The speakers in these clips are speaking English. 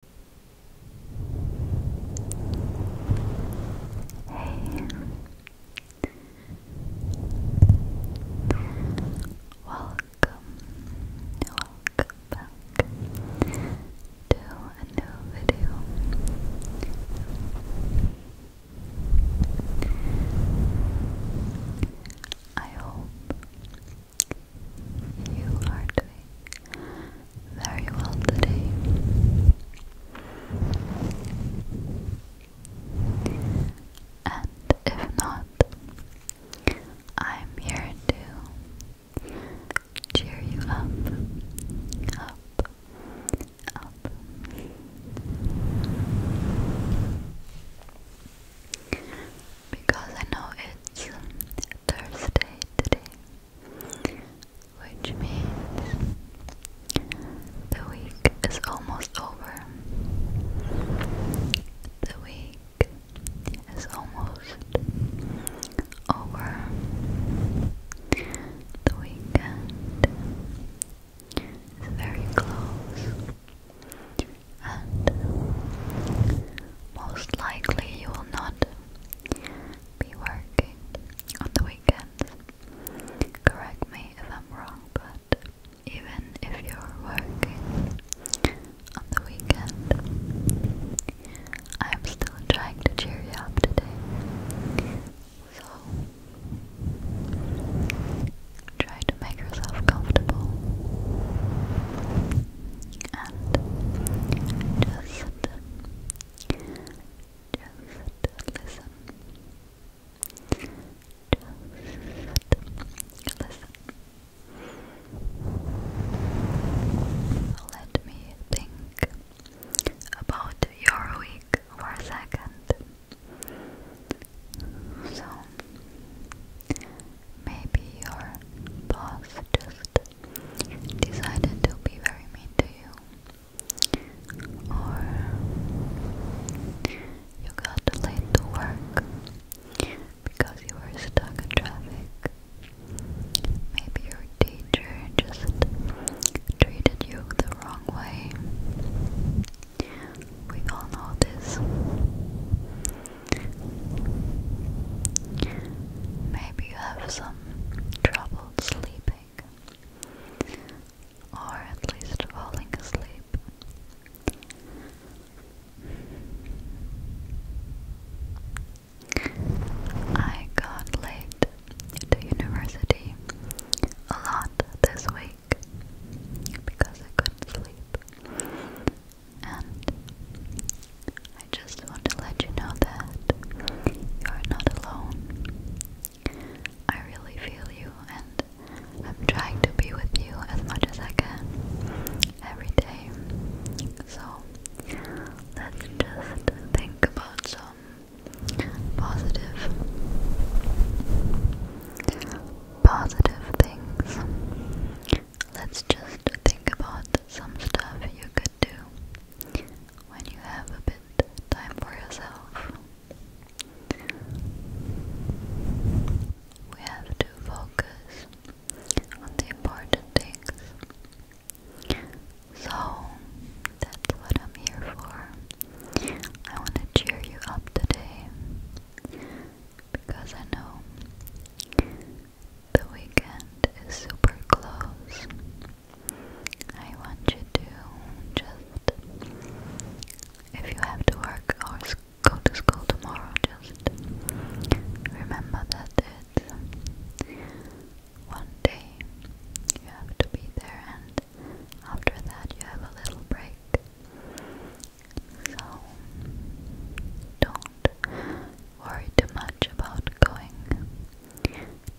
Hey, welcome, welcome back to a new video. I hope you are doing very well today. And if not, I'm here to cheer you up, up, up. Because I know it's Thursday today, which means the week is almost over. The week is almost over. The weekend is very close and most likely you will not be working on the weekends. Correct me if I'm wrong, but even if you're working on the weekend, I'm still trying to cheer you up today. So, Try to make yourself comfortable and just, just listen. Just listen. Let me think about your week for a second. So, Maybe your boss just decided to be very mean to you, or you got late to work because you were stuck in traffic. Maybe your teacher just treated you the wrong way. We all know this. Maybe you have some trouble sleeping, or at least falling asleep. I got late to university a lot this week because I couldn't sleep. And I just want to let you know that you are not alone. I really feel you, and I'm trying to be with you as much as I can every day. So let's just think about some positive positive things. Let's just think about some stuff you could do when you have a bit time for yourself. We have to focus on the important things. So that's what I'm here for. I want to cheer you up today because I know the weekend is super close. I want you to just, if you have to work or go to school tomorrow, just remember that it's one day you have to be there and after that, you have a little break. So, don't worry too much about going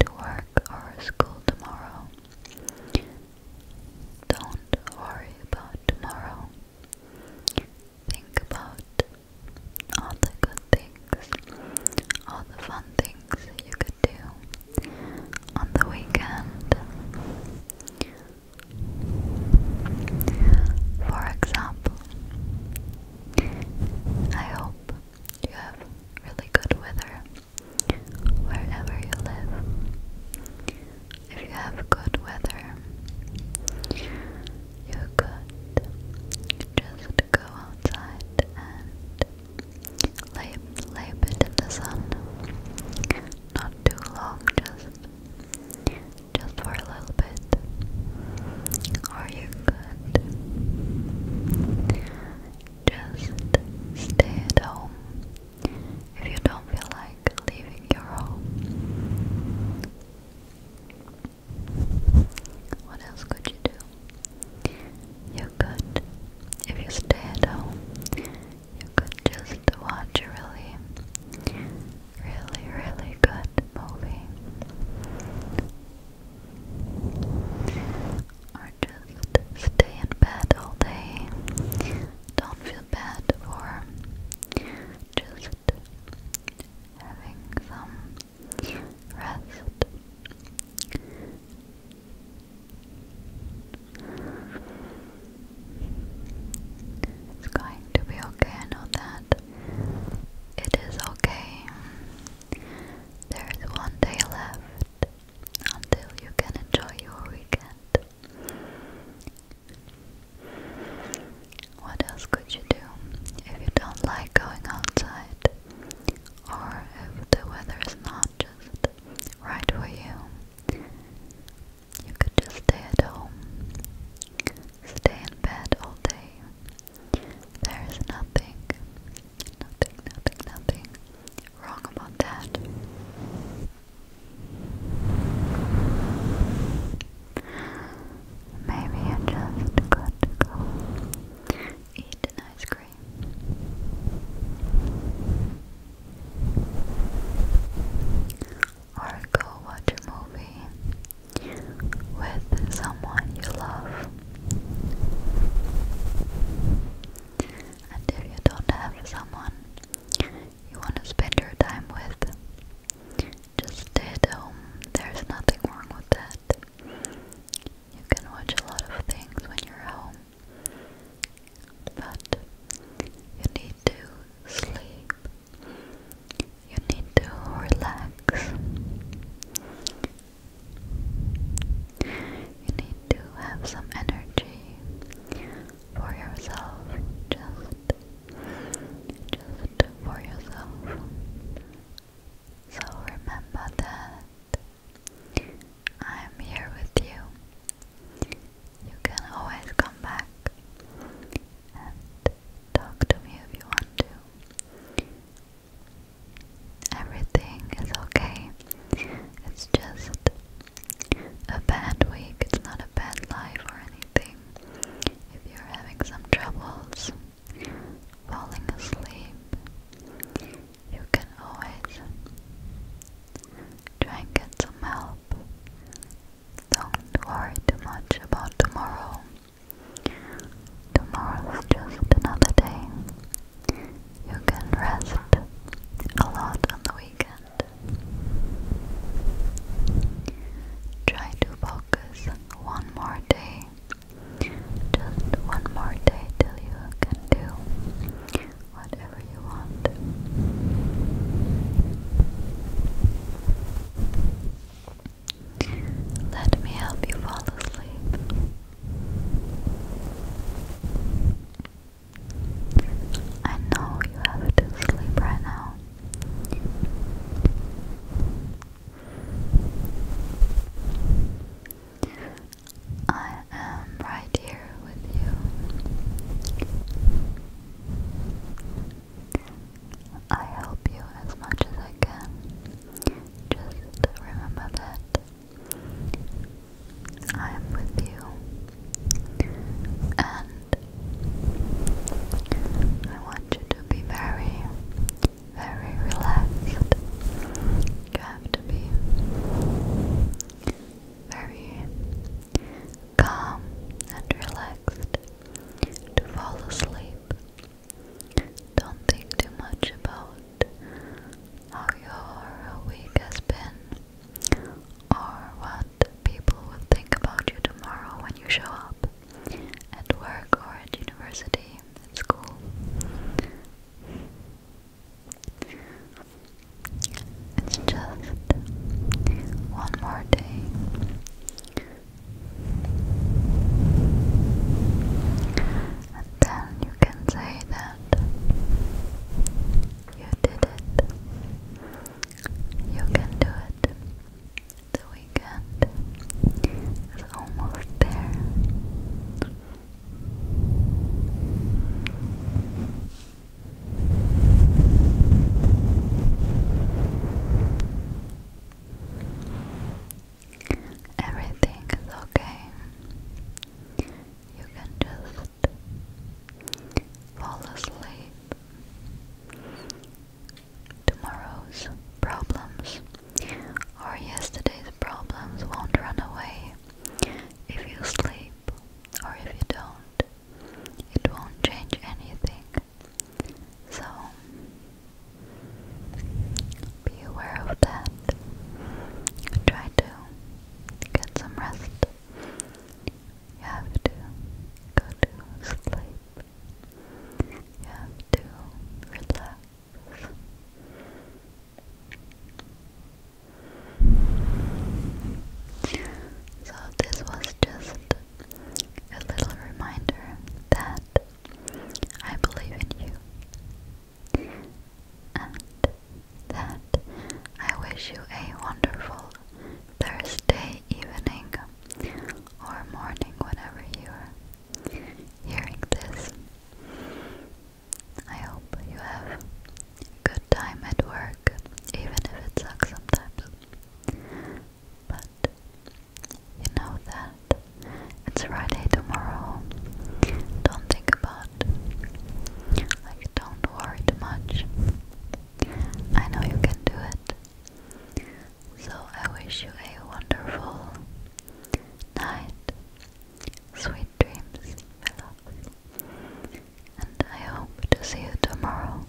to work or school tomorrow. Don't worry about tomorrow. Think about all the good things, all the fun things you could do on the weekend. For example, I hope you have really good weather wherever you live. If you have good weather, you could just go outside and Lay, lay bit in the sun. Not too long, just just for a little bit. Or you could just stay at home if you don't feel like leaving your home. What else could you do? You could, if you stay at home, you could just watch a really, really, really good movie. Or just stay in bed all day. Don't feel bad for just having some it's going to be okay, I know that. It is okay. There's one day left until you can enjoy your weekend. What else could you do if you don't like going outside? or if the weather is not just right for you, you could just stay at home, stay in bed all day. There is nothing, nothing, nothing, nothing wrong about that. Maybe you just got to go eat an ice cream. Or go watch a movie with someone you love. And if you don't have someone you want to spend your time with, just stay at home. There's nothing wrong with that you can watch a lot of things when you're home. But you need to sleep. You need to relax. You need to have some energy for yourself. Just just for yourself. So remember that I am here with you. You can always come back and talk to me if you want to. Everything is okay. It's just a bad week. It's not a bad life or anything. If you're having some troubles, falling asleep, you can always try and get some help. Don't worry too much about tomorrow. Tomorrow's just another day. You can rest a lot on the weekend. Try to focus one more day. Just one more day till you can do whatever you want. Let me help you fall asleep. I know you have to sleep right now. I am right here with you. I help you as much as I can. Just remember that I am with you and I want you to be very, very relaxed. You have to be very calm and relaxed to fall asleep. Don't think too much about how your week has been or what people will think about you tomorrow when you show up at work or at university, at school. It's just one more day. And then you can say that you did it. You can do it. The weekend is almost there. Everything is okay. You can just Fall asleep. Tomorrow's problems or yesterday's problems won't run away if you sleep or if you don't. It won't change anything. So, be aware of that. Try to get some rest. You have to go to sleep. You have to relax. So, this was just a little reminder that I believe in you and that I wish you a wonderful Thursday evening or morning, whenever you're hearing this. I hope you have a good time at work, even if it sucks sometimes. But you know that it's Friday tomorrow. Don't think about that. don't worry too much. I know you can do it. So, I wish you a wonderful night. Sweet dreams, And I hope to see you tomorrow.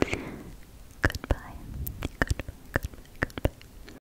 Goodbye. Goodbye, goodbye, goodbye.